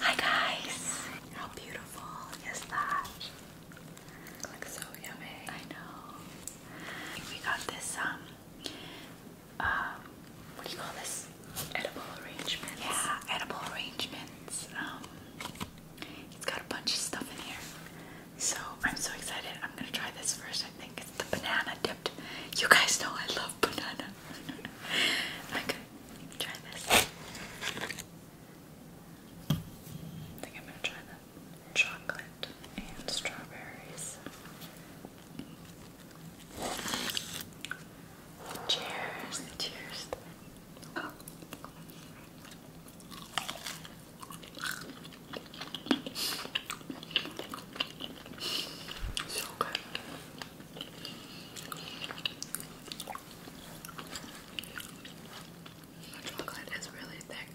Hi guys! How beautiful is that? Looks so yummy. I know. We got this um um what do you call this? Edible arrangements. Yeah, edible arrangements. Um it's got a bunch of stuff in here. So I'm so excited. I'm gonna try this first. I think it's the banana dipped. You guys know I love banana. I'm gonna try this. I think I'm gonna try the chocolate and strawberries. Cheers, cheers. Oh. So good. The chocolate is really thick.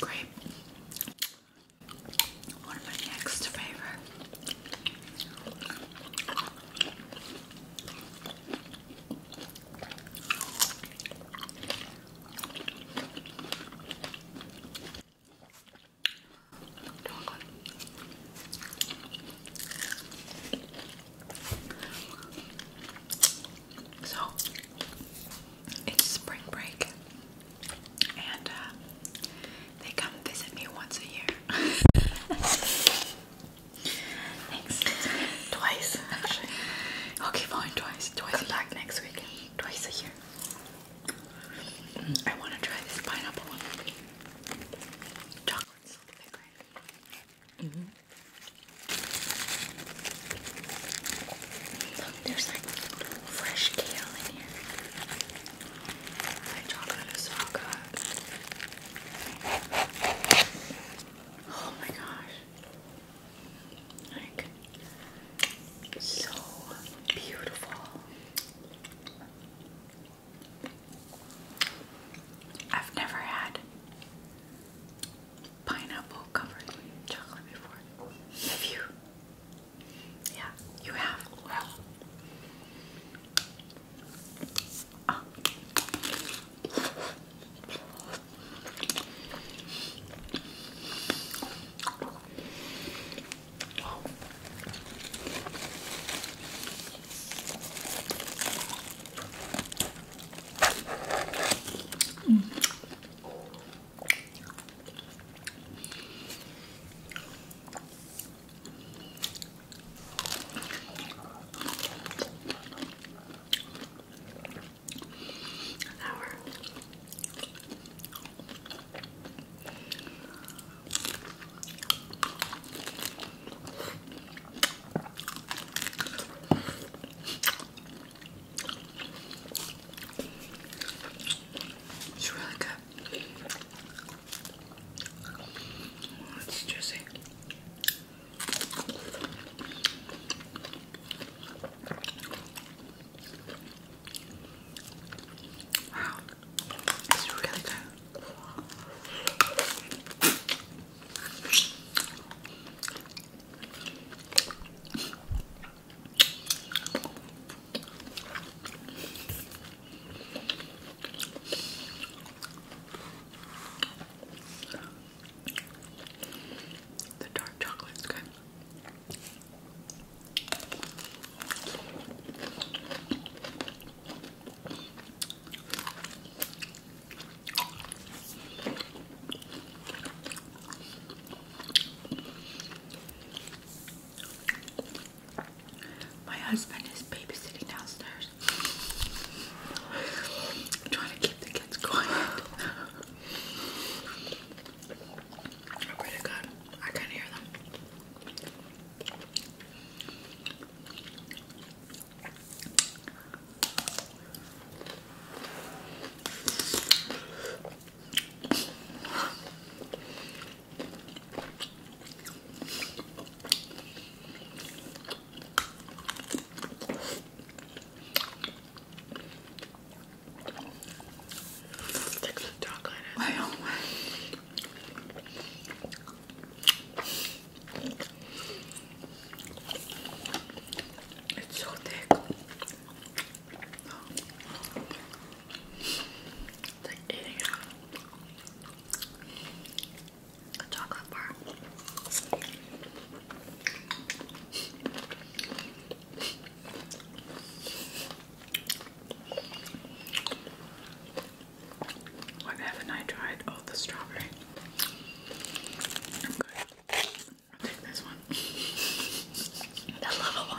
Grape. One of my next favorite. Chocolate. So it's spring break, and uh, they come visit me once a year. Twice, actually. okay, fine, twice. Twice. Come back next week. Twice a year. I want to try this pineapple one. Chocolate salt vinegar. Mm there's like fresh kale in here. My chocolate is so good. Oh my gosh. Like so beautiful. I've never had pineapple covered chocolate before. Have you? Yeah, you have. Well. Mm. Sour. It's really good. It's juicy. Wow, it's really good. The dark chocolate's good. My husband is babysitting downstairs. trying to keep the kids quiet. I pray to God, I can hear them. It's so thick. like eating a chocolate bar. What haven't I tried? Oh, the strawberry. I'm good. take this one. the little one.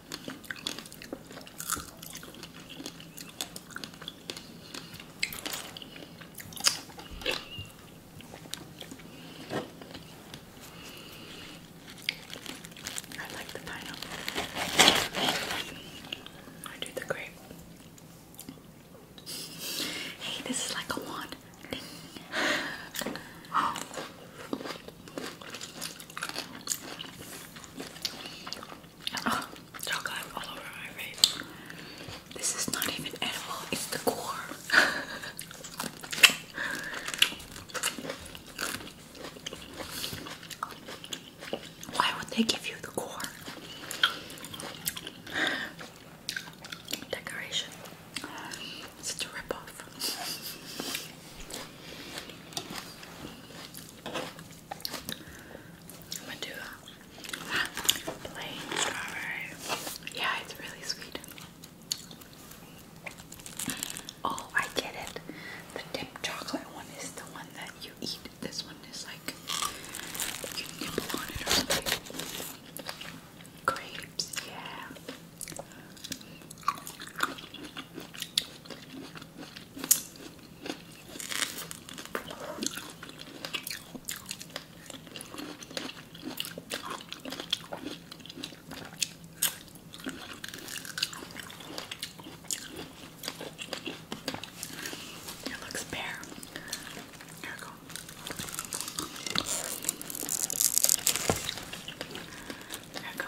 I like the pineapple. I do the grape. Hey, this is like a wand. Oh, chocolate all over my face. This is not even edible, it's the core. Why would they give you the core? Decoration. Such a ripoff. I'm gonna do a plain strawberry. Yeah, it's really sweet. Oh, I get it. The dipped chocolate one is the one that you eat. This one is like Grapes, yeah. It looks bare. Here we go. There we go.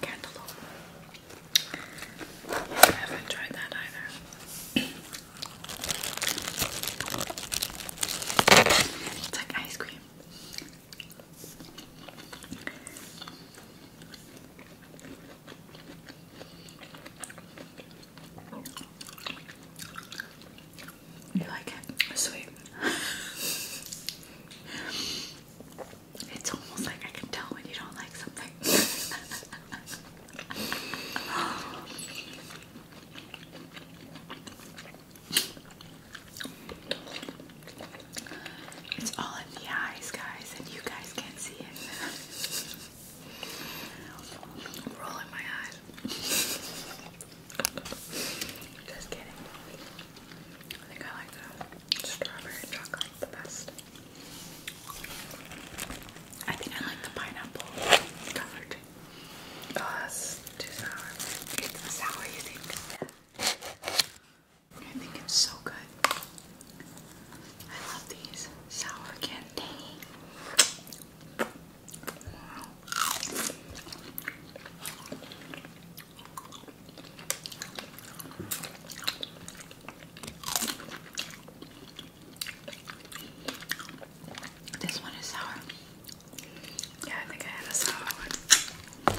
Cantaloupe. I haven't tried that either. It's ice cream. You like it? Sweet. it's almost like I can tell when you don't like something. it's all in the eyes, guys, and you guys can see it. I'm rolling my eyes. Just kidding. I think I like the strawberry chocolate the best. I think I like the pineapple colored. Oh, too sour. It's sour, you think? Yeah. I think it's so good. I love these sour candy. Wow. This one is sour. Yeah, I think I had a sour one.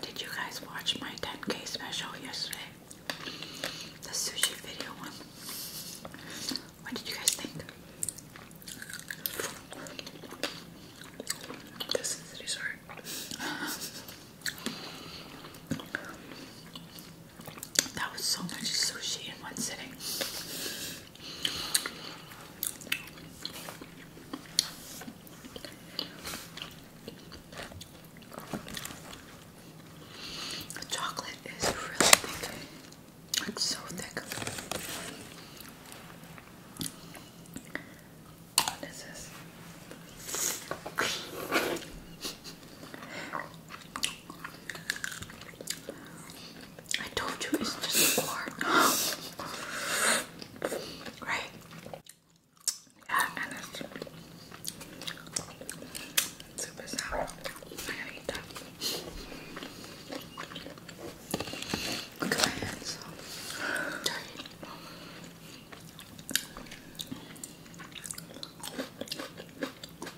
Did you guys watch my 10k special yesterday? The sushi video one. What did you guys think? This is the dessert. That was so much sushi in one sitting. The chocolate is really thick. It's so thick. What is this? I told you it's just corn. right? Yeah, it's super sour. I'm to eat that. Look at my hands.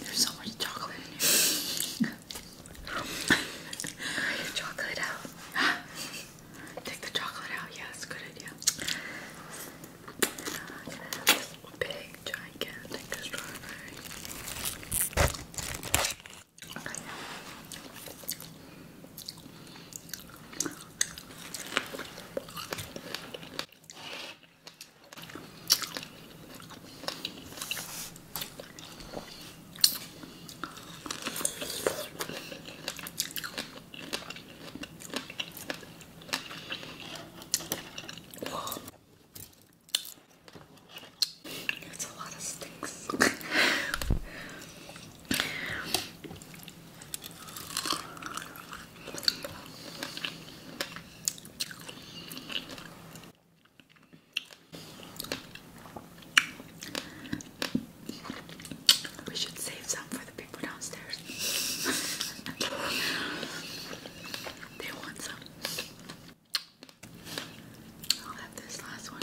There's so much chocolate in here. chocolate out. Take the chocolate out. Yeah, that's a good idea. i have this big, gigantic strawberry. It's a lot of sticks. We should save some for the people downstairs. they want some. I'll have this last one.